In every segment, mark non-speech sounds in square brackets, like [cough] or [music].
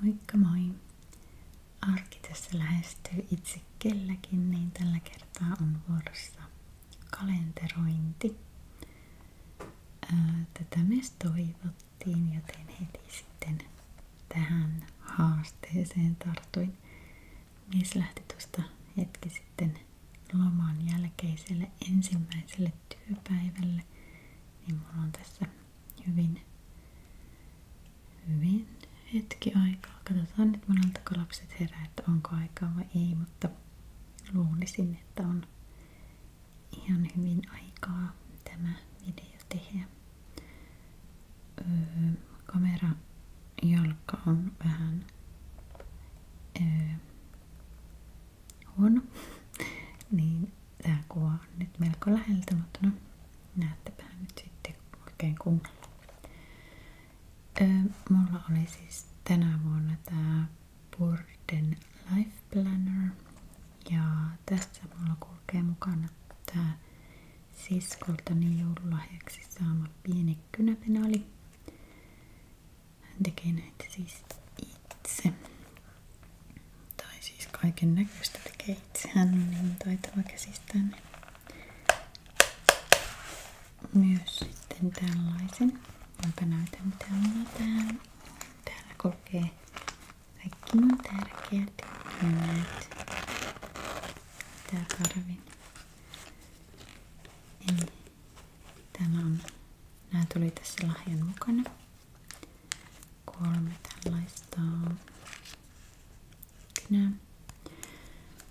Moikka moi! Arki tässä lähestyy itse kelläkin, niin tällä kertaa on vuorossa kalenterointi. Tätä myös toivottiin, joten heti sitten tähän haasteeseen tartuin. Mies lähti tuosta hetki sitten loman jälkeiselle ensimmäiselle työpäivälle, niin mulla on tässä hyvin, hyvin hetki aikaa. Katsotaan nyt moneltako lapset herää, että onko aikaa vai ei, mutta luulisin, että on ihan hyvin aikaa tämä video tehdä. Öö, kamera jalka on vähän öö, huono, [laughs] niin Tää kuva on nyt melko läheltä, mutta no näettepä nyt sitten oikein kunnolla. Öö, mulla oli siis tänä vuonna tää Burden Life Planner ja tässä mulla kulkee mukana tää siskoltani joululahjaksi saama pieni kynäpenaali. Hän tekee näitä siis itse. Tai siis kaiken näköistä Kate. Hän niin taitava käsistään. Myös sitten tällaisen, jonka näytän täällä täällä. Täällä kulkee kaikki mun tärkeät nimet. Tää karvi. Eli tämä on, nämä tuli tässä lahjan mukana kolme tällaista kynää.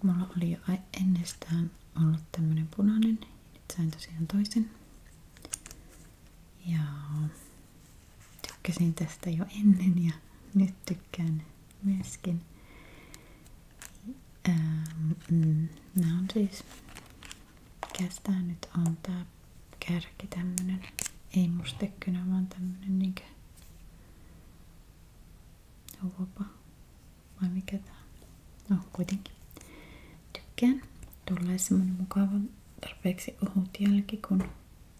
Mulla oli jo ennestään ollut tämmönen punainen, nyt sain tosiaan toisen. Ja tykkäsin tästä jo ennen ja nyt tykkään myöskin. Ähm, mm, nämä mm. on siis, mikäs tää nyt on, tää kärki tämmönen. Ei mustekynä, vaan tämmönen niinkö huopa. Vai mikä tää No kuitenkin. Tykkään. Tulee semmonen mukava tarpeeksi ohut jälki kun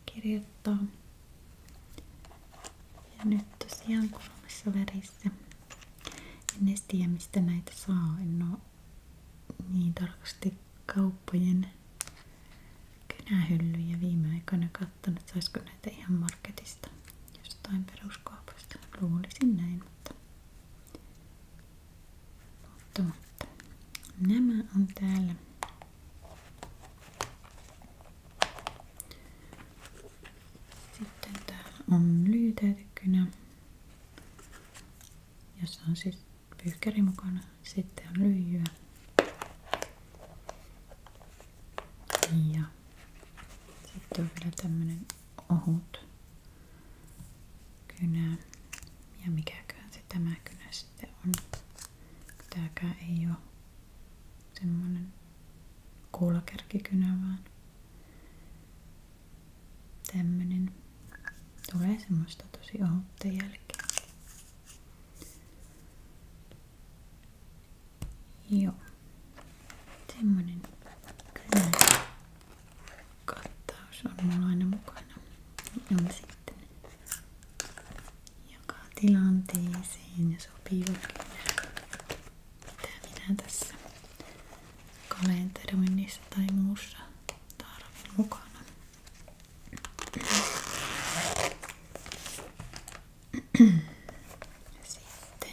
kirjoittaa. Ja nyt tosiaan kolmessa värissä. En edes tiedä mistä näitä saa. En oo niin tarkasti kauppojen kynähyllyjä viime aikoina kattonut, saisiko näitä ihan marketista jostain peruskaupasta. Luulisin näin, mutta, mutta, mutta. nämä on täällä. Sitten täällä on lyytäytekynä, jossa on siis pyykkäri mukana. Sitten on lyijyä. Ja sitten on vielä tämmönen ohut kynä. Ja mikäköhän se tämä kynä sitten on. Tääkään ei ole semmonen kuulakärkikynä vaan tämmönen. Tulee semmoista tosi ohutta jälkeä. Joo. Semmonen kynä kattaus on mulla aina mukana. On sitten joka tilanteeseen ja sopivakin. Mitä tässä kalenteroinnissa tai muussa tarvin sitten.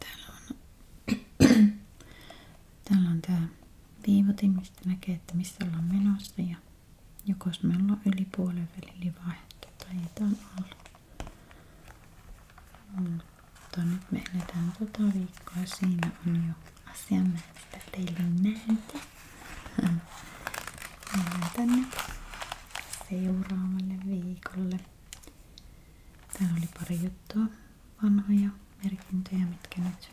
Täällä on, täällä on että missä ollaan menossa ja jokos me ollaan yli puolen välin niin vaihto tai jotain alla. Mutta nyt me eletään tota viikkoa. Siinä on jo asiamäärästä teille näytä. [laughs] Mennään tänne seuraavalle viikolle. Täällä oli pari juttua, vanhoja merkintöjä, mitkä nyt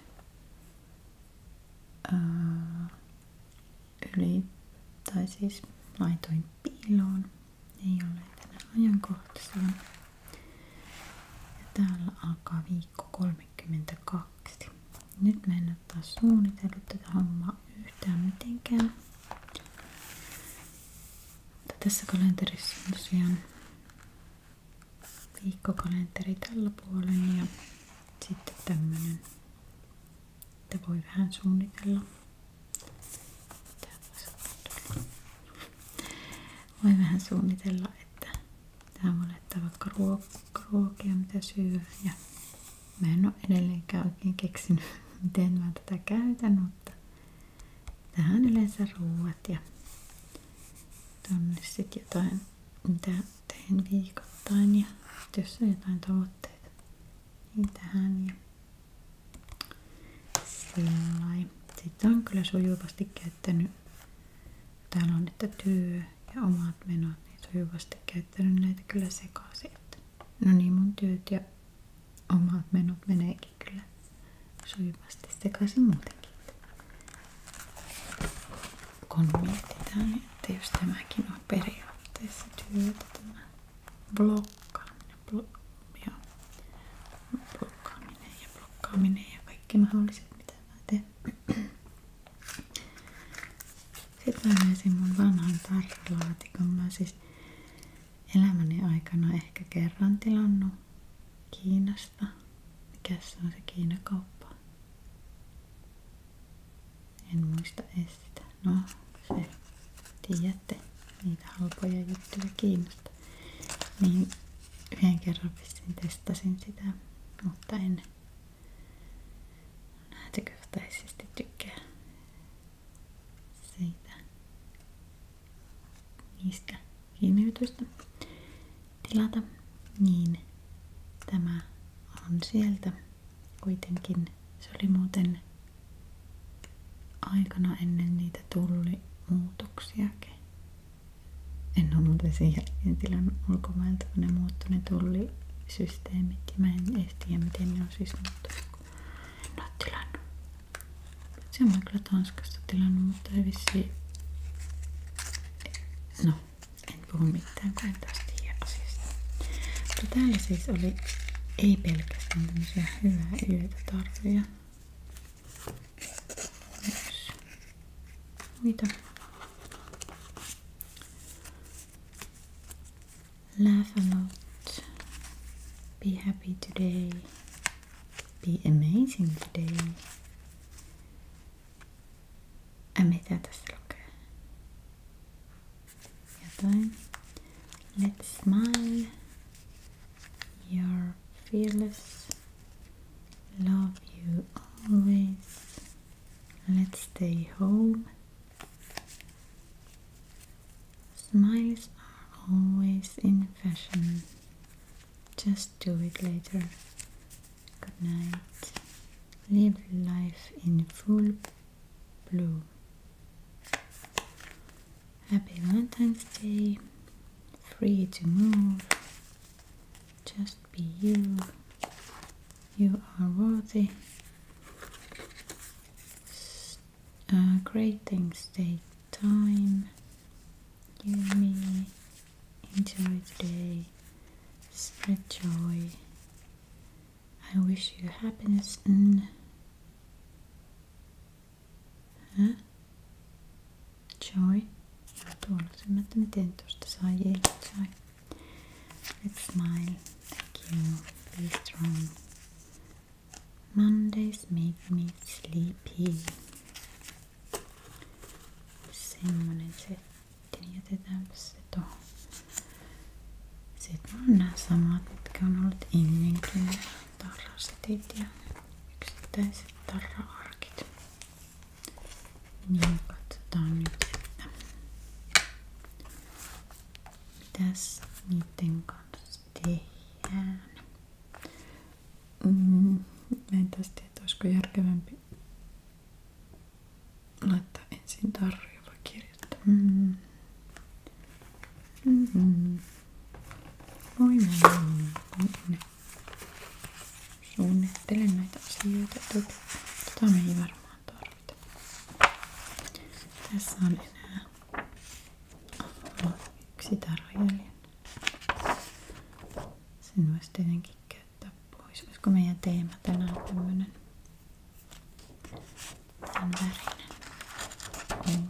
ää, öö, yli, tai siis laitoin piiloon. Ei ole tänään ajankohtaisia. Ja täällä alkaa viikko 32. Nyt me en ole taas suunnitellut tätä hommaa yhtään mitenkään. Mutta tässä kalenterissa on tosiaan viikkokalenteri tällä puolen ja sitten tämmönen, että voi vähän suunnitella. Voi vähän suunnitella, että Täällä laittaa vaikka ruok- ruokia, mitä syö. Ja mä en ole edelleenkään oikein keksinyt, [laughs] miten mä tätä käytän, mutta tähän yleensä ruuat ja tonne sitten jotain, mitä teen viikoittain ja jos on jotain tavoitteita, niin tähän ja sillä Sitten on kyllä sujuvasti käyttänyt Täällä on, niitä työ ja omat menot, niin sujuvasti käyttänyt näitä kyllä sekaisin. No niin, mun työt ja omat menot meneekin kyllä sujuvasti sekaisin muutenkin. Kun mietitään, niin että jos tämäkin on periaatteessa työtä, tämä blokkaaminen, blok, ja blokkaaminen ja blokkaaminen ja kaikki mahdolliset, mitä mä teen. Sitten mä löysin mun vanhan tarralaatikon. Mä siis elämäni aikana ehkä kerran tilannut Kiinasta. Mikäs se on se Kiinakauppa? En muista edes No, se tiedätte niitä halpoja juttuja Kiinasta että niin yhden kerran vissiin testasin sitä, mutta en näytökohtaisesti tykkää siitä niistä kiinniytystä tilata, niin tämä on sieltä kuitenkin. Se oli muuten aikana ennen niitä tullimuutoksiakin. En ole muuten sen jälkeen tilannut ulkomailta, kun ne muuttui ne tullisysteemit ja mä en edes miten ne on siis muuttunut. En ole tilannut. Se on kyllä Tanskasta tilannut, mutta ei vissiin... No, en puhu mitään, kun en taas tiedä asiasta. Mutta täällä siis oli ei pelkästään tämmöisiä hyvää yötä tarjoja. wieder laugh a lot be happy today be amazing today a metade stroke your let's smile your fearless. Love you always. Let's stay home. Smiles are always in fashion. Just do it later. Good night. Live life in full bloom. Happy Valentine's Day. Free to move. Just be you. You are worthy. Uh, great things take time. You, me, enjoy today. Spread joy. I wish you happiness and. Huh? Joy, Ja se sen, että miten tuosta saa jälkeen choi. Let's smile. Thank you. Be strong. Mondays make me sleepy. Semmonen setti. Jätetäänpä se tuohon. Sitten on nämä samat, mitkä on ollut ennenkin. Tarrasetit ja yksittäiset tarra-arkit. Niin, katsotaan nyt, että mitäs niiden kanssa tehdään. Mm, mä en tästä tiedä, olisiko järkevämpi laittaa ensin tarjoa kirjoittaa. Mm. Mm-hmm. Voi mennä. Mm-hmm. Suunnittelen näitä asioita etukäteen. Tota me ei varmaan tarvita. Tässä on enää Aha, yksi tarjoilija. Sen voisi tietenkin käyttää pois. Olisiko meidän teema tänään tämmönen tämän värinen? Niin.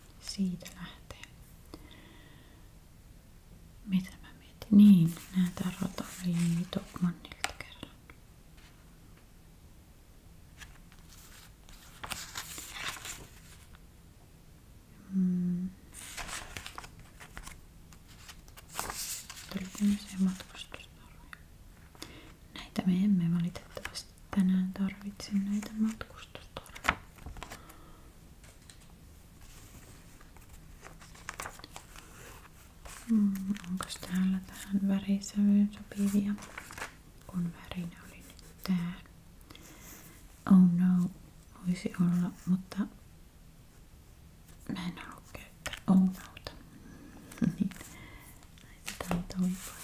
siitä lähtee. Mitä mä mietin? Niin, nää tarot oli Topmannilta kerran. Mm. Tuliko Näitä me emme valitettavasti edes tänään tarvitse näitä matkustustorveja. Mm, onko täällä tähän värisävyyn sopivia? Kun värinä oli nyt tää. Oh no, voisi olla, mutta mä en halua käyttää oh nouta. [laughs] niin. Laitetaan toi pois.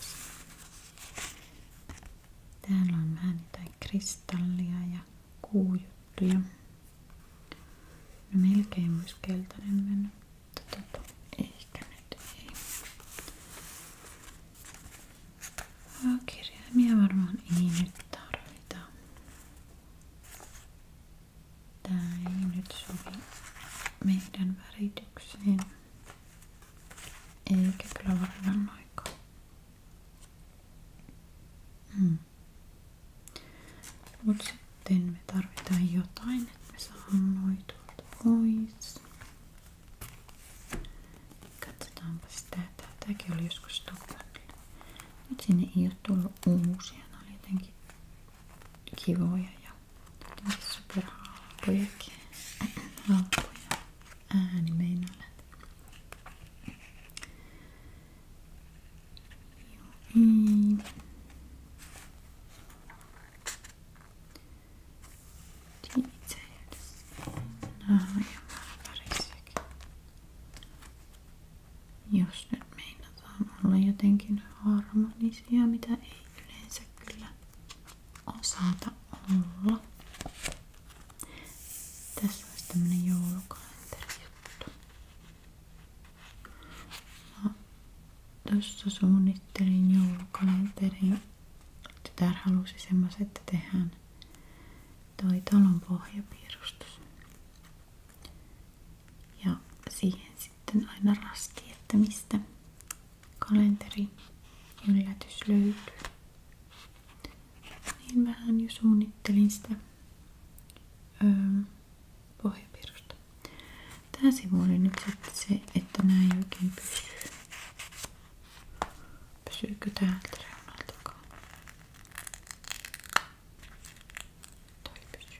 Täällä on vähän niitä kristallia ja kuujuttuja. No, melkein olisi keltainen mennyt, mutta tota, ehkä nyt ei. Oh, kirjaimia varmaan ei nyt tarvita. meidän väritykseen eikä kyllä varmaan aikaa. Mm. Mut sitten me tarvitaan jotain, että me saadaan noi tuolta pois. Katsotaanpas tätä. Tämäkin oli joskus Stockholmilla. Nyt sinne ei ole tullut uusia. Ne oli jotenkin kivoja ja superhalpojakin. [clears throat] Halpoja. Ääni meinaa ja, i... Nämä Jos nyt meinataan olla jotenkin harmonisia, mitä ei yleensä kyllä osata olla. Tässä olisi tämmönen joulukalenterijuttu. Mä tuossa suunnittelin joulukalenterin. Tytär halusi semmoiset, että tehdään toi talon pohjapiirustus. Ja siihen sitten aina rasti, että mistä kalenteri yllätys löytyy. Niin vähän jo suunnittelin sitä öö, pohjapirusta. Tää sivu oli nyt sitten se, että nää ei oikein pysyy. Pysyykö täältä reunaltakaan? Toi pysyy.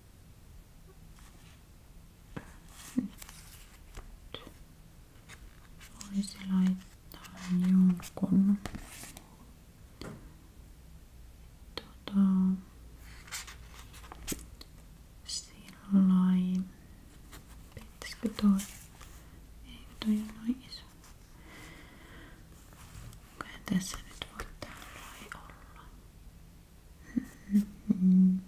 Nyt voisi laittaa jonkun tota, sillain pitäisikö toi ei toi on noin iso Kai tässä nyt voi täällä olla Mm.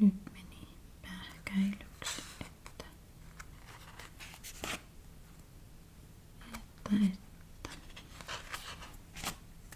Nyt meni pähkäilyksi, että, että, että.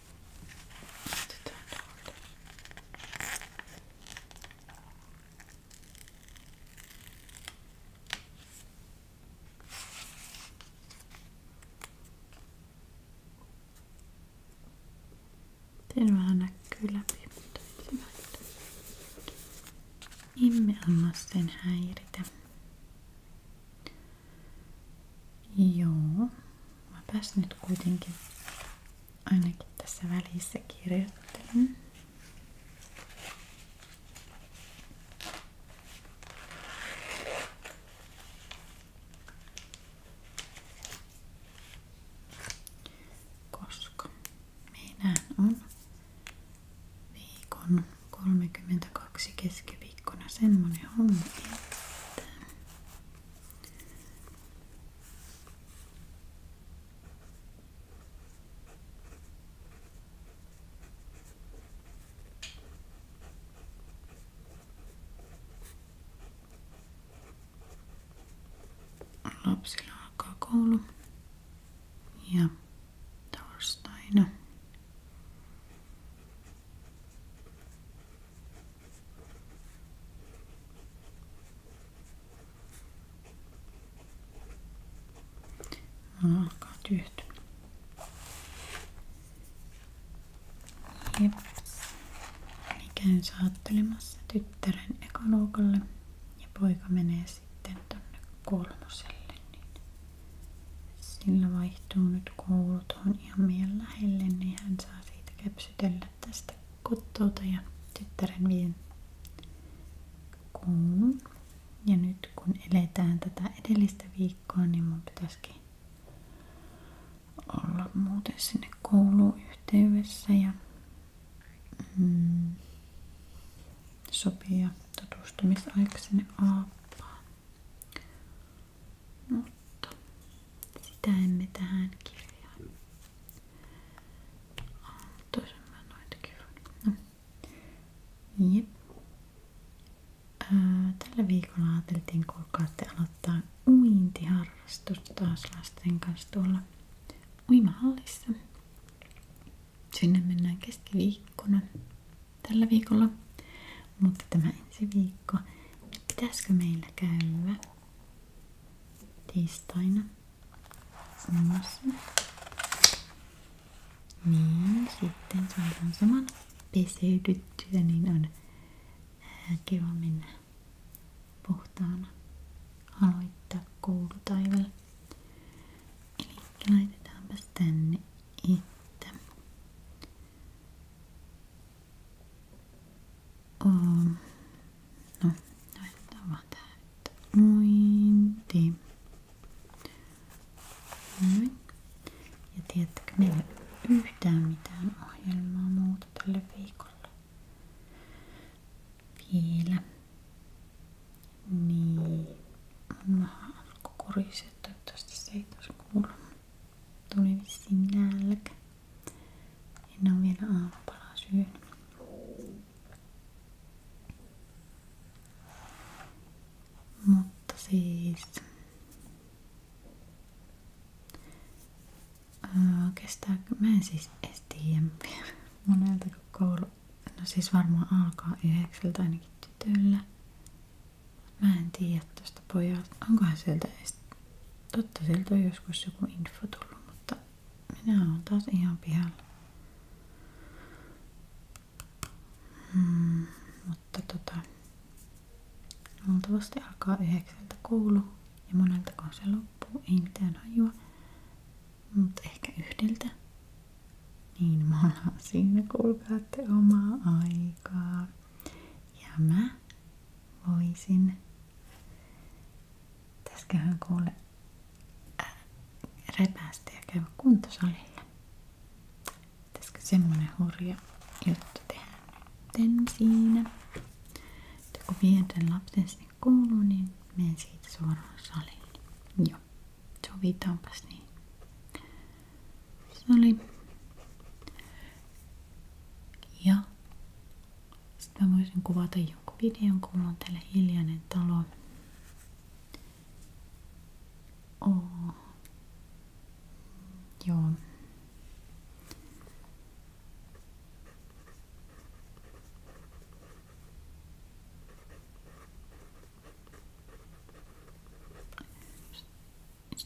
Not turned hard. Tervehän näkyy läpi, mutta hyvä. Emme anna sen häiritä. Joo mäpäs nyt kuitenkin ainakin tässä välissä kirjoittelen. Koska meidän on viikon 32 keskiviikkona semmonen homma, että Lapsilla alkaa koulu ja torstaina. Mulla alkaa tyhty. Jeps. Eli käyn saattelemassa tyttären ekaluokalle ja poika menee sitten tonne kolmoselle. Niin sillä vaihtuu nyt koulu tuohon ihan meidän lähelle, niin hän saa siitä kepsi sytellä tästä kottouta ja tyttären vien kouluun. Ja nyt kun eletään tätä edellistä viikkoa, niin mun pitäisikin olla muuten sinne kouluun ja mm, sopia tutustumisaiksi sinne mutta sitä emme tähän kirjaan. Toisen mä noitakin no. Jep. Tällä viikolla ajateltiin kuulkaatte aloittaa uintiharrastus taas lasten kanssa tuolla uimahallissa. Sinne mennään keskiviikkona tällä viikolla, mutta tämä ensi viikko, pitäisikö meillä käydä tiistaina samassa. Niin, sitten saadaan saman peseydyttyä, niin on kiva mennä puhtaana aloittaa koulutaivalle. Eli laitetaanpas tänne, että Um, no, laitetaan vaan tähän nyt. Mointi. Noin. Ja tiedättekö, meillä ei ole yhtään mitään ohjelmaa muuta tälle viikolle. Vielä. Niin. Mun maha alkoi kurisee. Toivottavasti se ei taas kuulu. Tuli vissiin nälkä. En ole vielä aamupalaa syönyt. Mutta siis... Öö, Mä en siis edes tiedä monelta kun koulu... No siis varmaan alkaa yhdeksältä ainakin tytöllä. Mä en tiedä tuosta pojalta. Onkohan sieltä edes Totta siltä on joskus joku info tullut, mutta minä olen taas ihan pihalla. Hmm, mutta tota, luultavasti alkaa yhdeksältä koulu ja monelta se loppuu, ei mitään hajua, mutta ehkä yhdeltä. Niin me ollaan siinä, kuulkaatte omaa aikaa. Ja mä voisin Täskähän kuule äh, repäistä ja käydä kuntosalilla. Pitäisikö semmonen hurja juttu tehdä Ten siinä? Että kun vien lapsen sinne kouluun, niin menen siitä suoraan saliin. Joo, sovitaanpas niin. Sali. Ja sitten mä voisin kuvata jonkun videon, kun mulla on täällä hiljainen talo. Oh. Joo.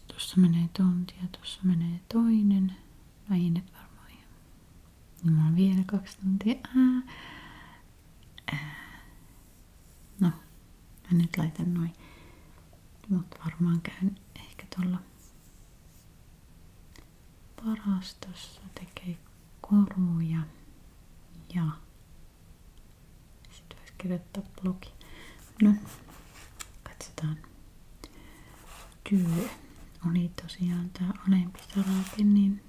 Tuossa menee tonti ja tuossa menee toinen. No ei varmaan ihan. Niin mulla on vielä kaksi tuntia. Ää. Ää. No, mä nyt laitan noin. Mutta varmaan käyn ehkä tuolla varastossa tekee koruja ja sitten voisi kirjoittaa blogi. No, katsotaan. Työ oli niin tosiaan tää alempi sarake niin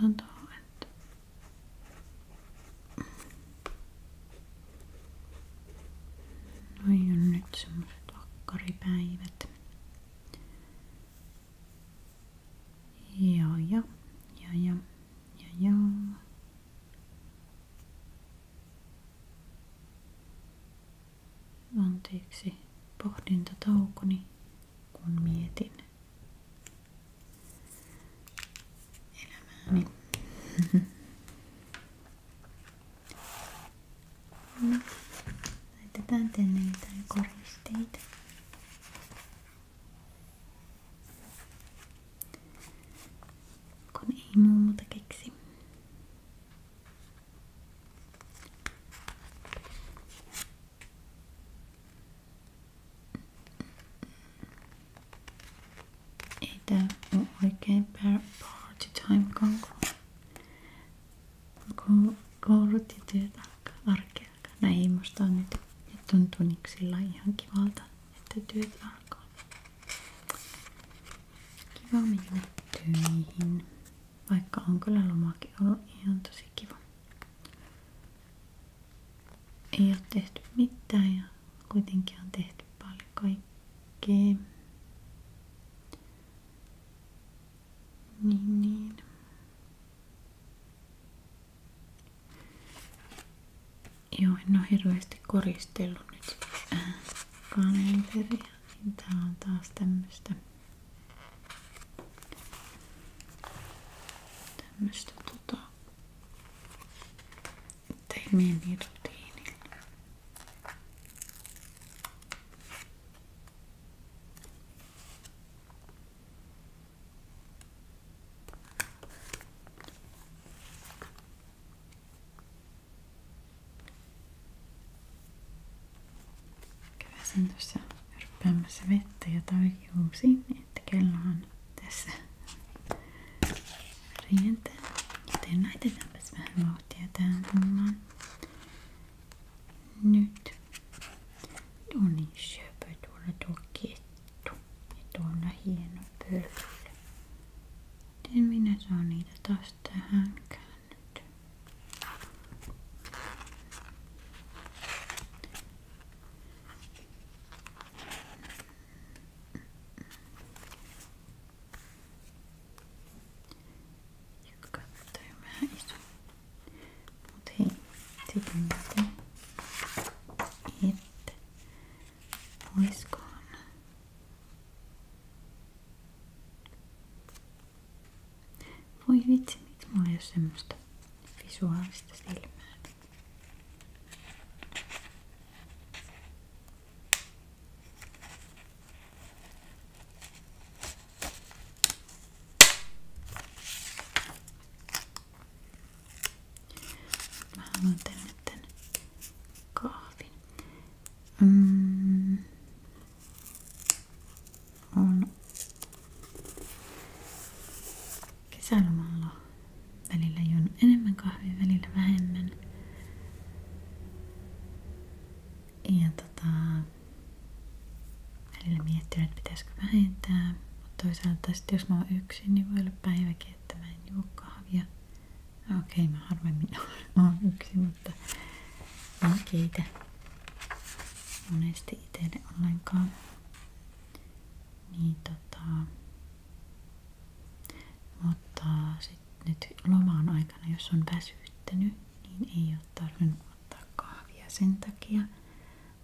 tuntuu, noi on nyt semmoset vakkaripäivät. Ja ja, ja ja, Anteeksi pohdin tätä pohdintataukoni, kun mietin elämääni. No, laitetaan tänne jotain koristeita. Kun ei muuta keksi. Ei tää oo oikein party time konkulu. Ko koulut ja työt alkaa, arki alkaa. No ei musta on nyt. tuntuu niin sillä ihan kivalta, että työt alkaa. Kiva mennä töihin. Vaikka on kyllä lomakin ollut ihan tosi kiva. Ei ole tehty mitään ja kuitenkin on tehty paljon kaikkea. Niin, niin. Joo, en ole hirveästi koristellut nyt äh, kalenteria. Niin tää on taas tämmöstä tämmöstä tota teemien rutiini käväsin tuossa ryppäämässä vettä ja tarjuusin, että kello on tässä rientää. Joten laitetaanpas vähän vauhtia tähän hommaan. Nyt. on niin, syöpö tuolla tuo kettu. Ja tuonne hieno pölkky. Miten minä saan niitä taas tähän käännyt? Joka toi vähän iso. Mut hei, sitten mä teen. Olisikohan? Voi vitsi, miksi mulla ei ole semmoista visuaalista silmää? Mä haluan tänne tän kahvin. Mm. On kesälomalla. Välillä juon enemmän kahvia, välillä vähemmän. Ja tota, välillä miettinyt, että pitäisikö vähentää. Mutta toisaalta sitten jos mä oon yksin, niin voi olla päiväkin, että mä en juo kahvia. Okei, okay, mä harvemmin [laughs] oon yksi, mutta en keitä monesti itselle ollenkaan. Niin tota... Mutta sitten nyt lomaan aikana, jos on väsyttänyt, niin ei ole tarvinnut ottaa kahvia sen takia,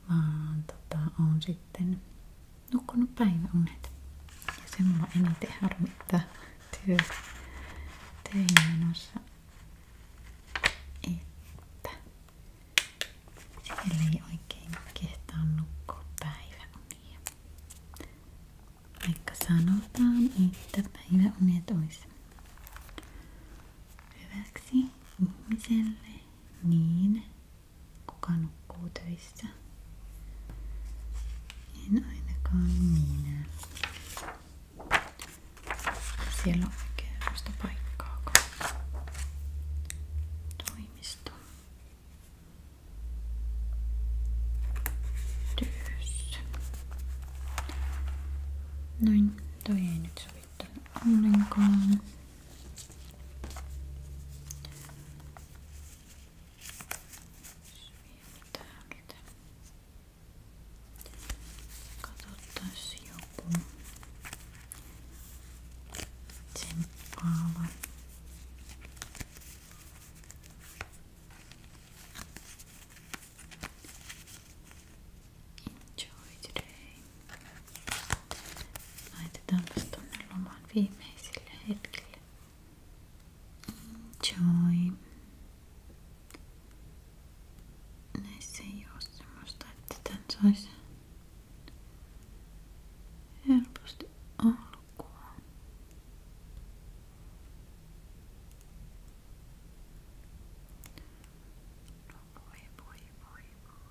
vaan tota, on sitten nukkunut päiväunet. Ja se mulla eniten harmittaa työ töihin menossa. Että siellä ei oikein kehtaa nukkua päiväunia. Vaikka sanotaan, että päiväunet olisi hyväksi ihmiselle, niin kuka nukkuu töissä? tästä. En ainakaan minä. Siellä on oikeasta paikkaa. Toimisto. Työssä. Noin, toi ei nyt sovi ollenkaan täältä. Katsottaisiin joku tsemppaava. Enjoy today. Laitetaanpas tuonne loman viimeisille hetkille. Joy. Näissä ei oo semmoista, että tän saisi helposti alkuun. No voi voi voi voi.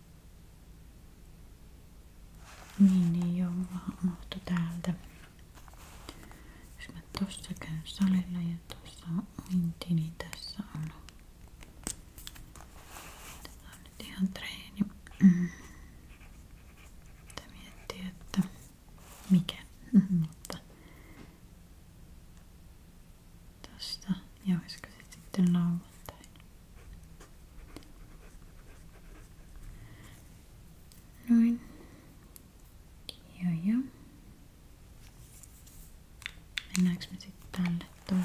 Niin ei niin ole vaan mahto täältä. Jos mä tossa käyn salilla ja tossa on minti, niin tässä on. Tää on nyt ihan treeni. Mitä miettii, että mikä. [laughs] Mutta tästä ja olisiko se sitten lauantaina. Noin. Ja, ja. Mennäänkö me sitten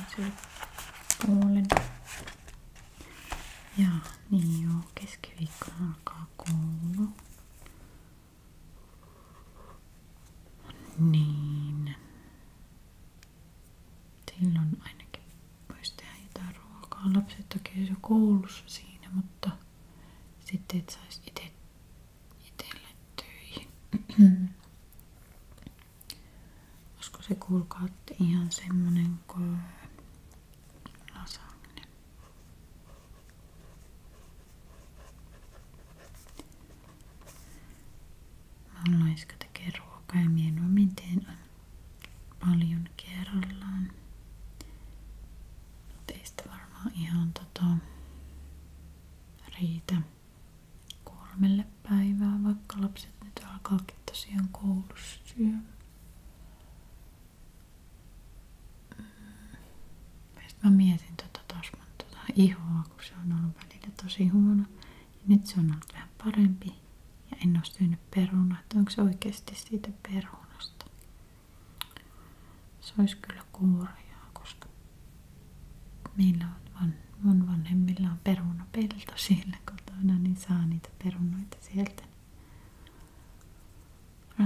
tälle niin joo, keskiviikkona alkaa koulu. Niin. Silloin ainakin voisi tehdä jotain ruokaa. Lapset toki jo koulussa siinä, mutta sitten et saisi itse itselle töihin. [clears throat] Olisiko se kuulkaa ihan semmonen kuin lasagne? Maalaiska tekee ruokaa ja paljon kerrallaan. Teistä ihan tota riitä kolmelle päivää, vaikka lapset nyt alkaakin tosiaan koulussa syömään. Mm. Mä mietin tota taas mun tota ihoa, kun se on ollut välillä tosi huono. Ja nyt se on ollut vähän parempi ja en ole syönyt perunaa, että onko se oikeasti siitä perunasta. Se olisi kyllä kuuria, koska meillä on van, mun vanhemmilla on perunapelto siellä kotona, niin saa niitä perunoita sieltä. No,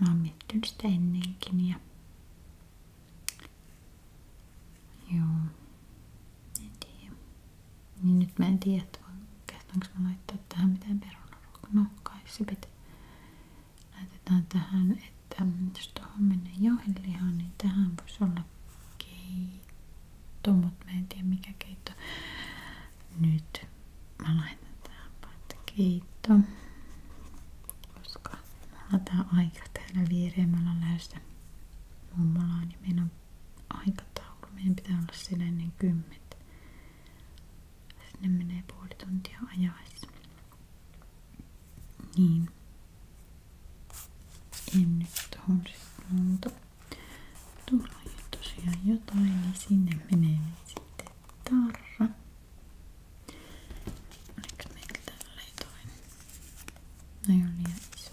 mä oon miettinyt sitä ennenkin ja Joo. En tiedä. Niin nyt mä en tiedä, että kehtaanko mä laittaa tähän mitään perunaruokaa. No kai se pitää. Laitetaan tähän, että jos tuohon menee jauhelihaan, niin tähän voisi olla keitto, mutta mä en tiedä mikä keitto. Nyt mä laitan tähän paita keitto. Koska mulla tää aika täällä viereen, mä olen lähdössä mummolla on ja niin meidän on aikataulu. Meidän pitää olla siellä ennen niin kymmentä. Sinne menee puoli tuntia ajaessa. Niin. En nyt tohon sitten Tuolla ei tosiaan jotain, niin sinne menee sitten tarra. Oliko meillä täällä jotain? No ei ole liian iso.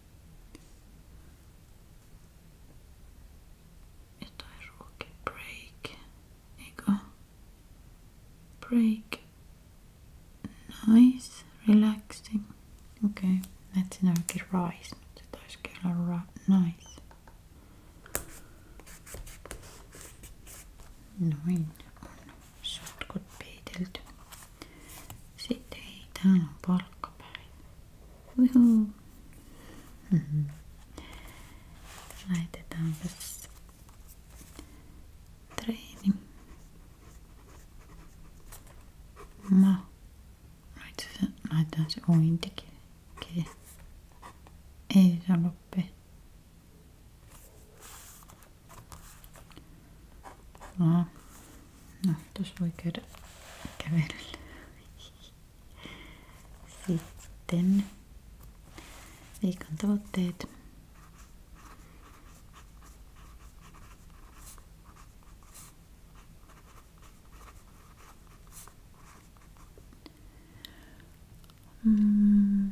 Jotain Break. Eikö? Break. Nice. Relaxing. Okay. Mä etsin oikein rise, mutta se taisikin olla nice. Noin. On sotkut peitelty. Sitten ei, täällä on palkkapäivä. Uhu. Mm-hmm. Laitetaanpas treeni. Mä laitan se, laitan se ointikin. Ei se loppe. No, Nahtus no, voi käydä kävelyllä. Sitten viikon tavoitteet. Mm.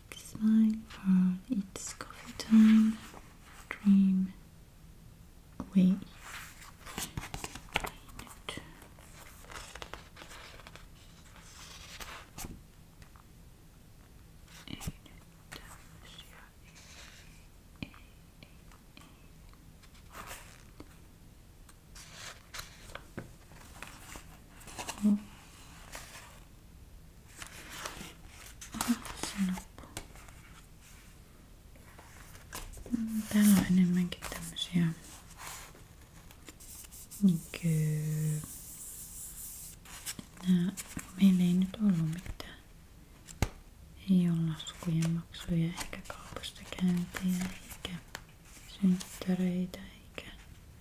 Smile hard, it's coffee time. Dream away. Sinappu. Mm, täällä on enemmänkin tämmösiä niinkö... Nää, meillä ei nyt ollut mitään. Ei ole laskujen maksuja, eikä kaupasta käyntiä, eikä synttäreitä, eikä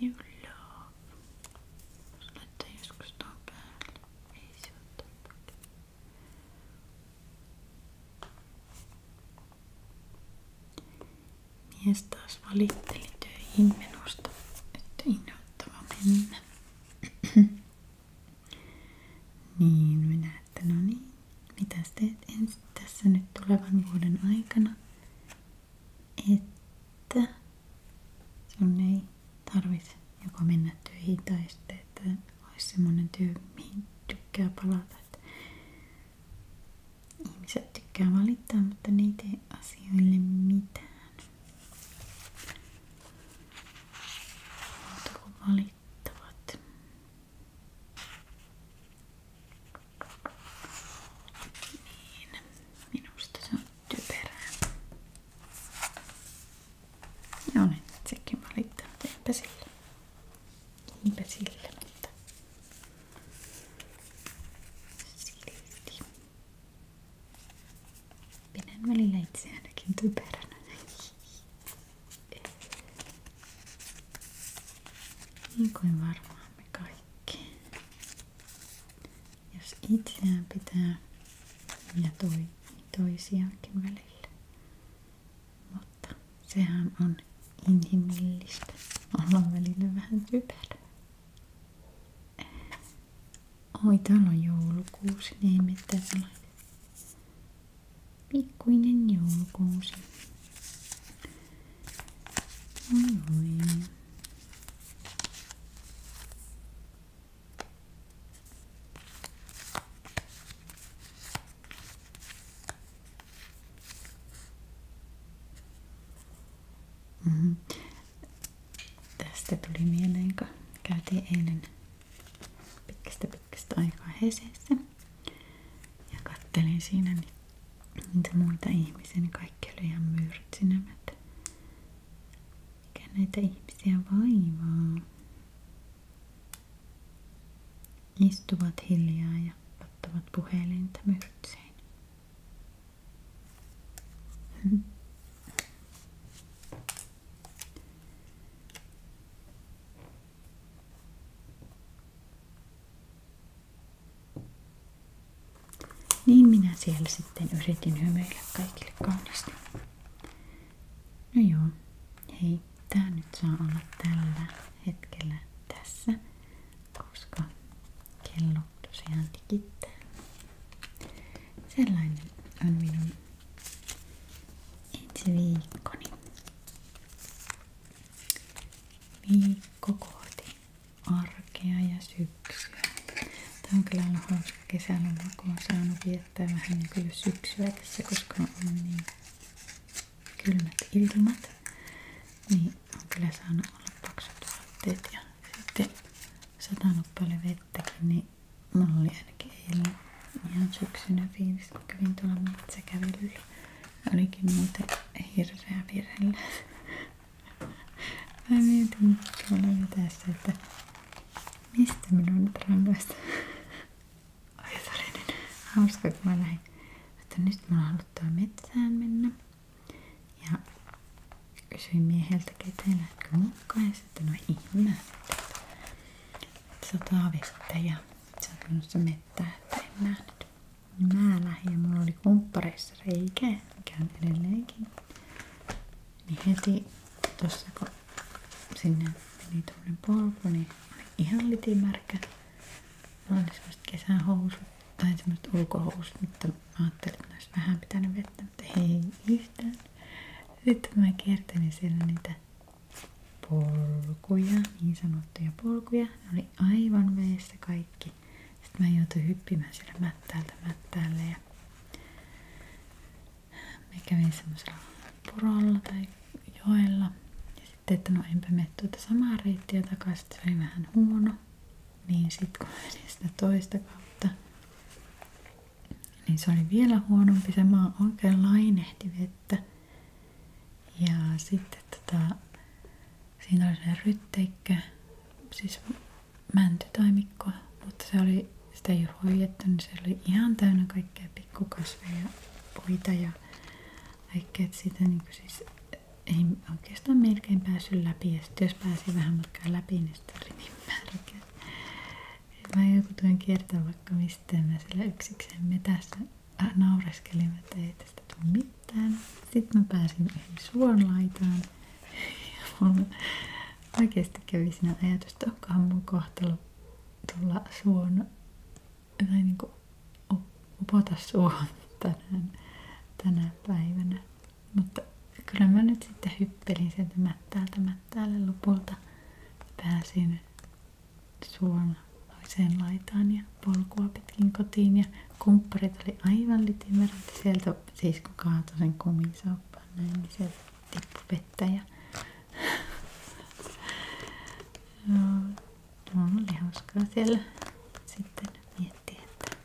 You love. Laittaa joskus tuon päälle. Ei se ole tarpeeksi. Mies taas valitteli töihin menosta, että innoittava mennä. [clears throat] niin, minä että no niin, mitä teet ensin tässä nyt tulevan vuoden aikana? että sun ei tarvitse joko mennä töihin tai sitten, että olisi semmoinen työ, mihin tykkää palata. Että ihmiset tykkää valittaa, mutta ne ei tee asioille mitään. Muuta valittavat. Niin, minusta se on typerää. Ja no olen niin, itsekin valittanut, enpä sille. Enpä sille, mutta silti. Pidän välillä itse ainakin typeränä. Niin kuin varmaan me kaikki. Jos itseään pitää ja toi, toisiaankin välillä. Mutta sehän on inhimillistä. Ollaan välillä vähän typerä. Oi, täällä on joulukuusi. Niin ei me täällä. Pikkuinen joulukuusi. Oi, mm-hmm. Tästä tuli mieleen, kun käytiin eilen pitkästä pitkästä aikaa ja kattelin siinä niitä niitä muita ihmisiä, niin kaikki oli ihan myrtsinemät. Mikä näitä ihmisiä vaivaa? Istuvat hiljaa ja ottavat puhelinta myrtsein. Niin minä siellä sitten yritin hymyillä kaikille kauniisti. No joo, hei, tää nyt saa olla tällä hetkellä tässä, koska kello tosiaan tikittää. Sellainen on minun ensi viikkoni. Viikko kohti arkea ja syksyä. Tämä on kyllä ollut hauska kesäloma, niin kun olen saanut viettää vähän niin kuin syksyä tässä, koska on niin kylmät ilmat. Niin on kyllä saanut olla paksut vaatteet ja sitten satanut paljon vettäkin, niin mulla oli ainakin eilen ihan syksynä fiilis, kun kävin tuolla metsäkävelyllä. Olikin muuten hirveä virellä. Mä mietin tuolla vetäessä, että mistä minun nyt rangaistaan. Oi, se oli niin hauska, kun mä lähdin. Että nyt mä oon halunnut metsään mennä. Ja kysyin mieheltäkin, että lähdetkö mukaan. Ja no sitten no ihme. Että on oot ja se on menossa mettään, että en mä nyt mä lähdin ja mulla oli kumppareissa reikä, mikä on edelleenkin. Niin heti tuossa kun sinne meni tuommoinen polku, niin oli ihan litimärkä. Mulla oli semmoiset kesähousut tai semmoiset ulkohousut, mutta mä ajattelin, että olisi vähän pitänyt vettä, mutta ei yhtään. Sitten mä kiertelin siellä niitä polkuja, niin sanottuja polkuja. Ne oli aivan veessä kaikki kaikki. Sitten mä joutuin hyppimään siellä mättäältä mättäälle ja mä kävin semmoisella purolla tai joella. Ja sitten, että no enpä mene tuota samaa reittiä takaisin, se oli vähän huono. Niin sitten kun menin sitä toista kautta, niin se oli vielä huonompi. Se maa oikein lainehti vettä. Ja sitten tota, Siinä oli se rytteikkö, siis mäntytaimikko, mutta se oli, sitä ei hoidettu, niin se oli ihan täynnä kaikkea pikkukasveja, puita ja kaikkea, että siitä niin kuin siis ei oikeastaan melkein päässyt läpi. Ja sitten jos pääsi vähän matkaa läpi, niin sitten oli niin märkä. Mä joutuin kiertää vaikka mistä mä sillä yksikseen metässä naureskelin, että ei tästä tule mitään täällä. Sitten mä pääsin yhden suonlaitaan. Ja mulla oikeasti kävi siinä ajatus, että onkohan mun kohtalo tulla suon, tai niinku upota suon tänään, tänä päivänä. Mutta kyllä mä nyt sitten hyppelin sieltä mättäältä mättäälle lopulta. Pääsin suon toiseen laitaan ja polkua pitkin kotiin ja kumpparit oli aivan litimerät. Sieltä sisko kaatoi sen kumisaappan näin, niin sieltä tippui vettä ja Mulla [laughs] no, oli hauskaa siellä sitten miettiä, että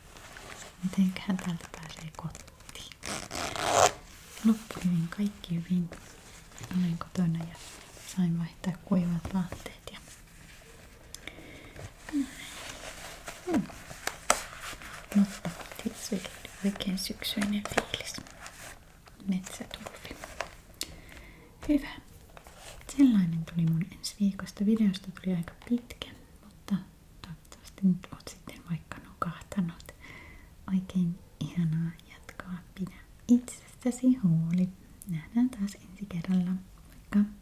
mitenköhän täältä pääsee kotiin. Loppu hyvin, kaikki hyvin. Olen kotona ja sain vaihtaa kuivat vaatteet mutta mm. mm. Mutta siis oikein syksyinen fiilis. Metsäturvi. Hyvä. Sellainen tuli mun ensi viikosta. Videosta tuli aika pitkä, mutta toivottavasti nyt oot sitten vaikka nukahtanut. Oikein ihanaa jatkoa. Pidä itsestäsi huoli. Nähdään taas ensi kerralla. Moikka!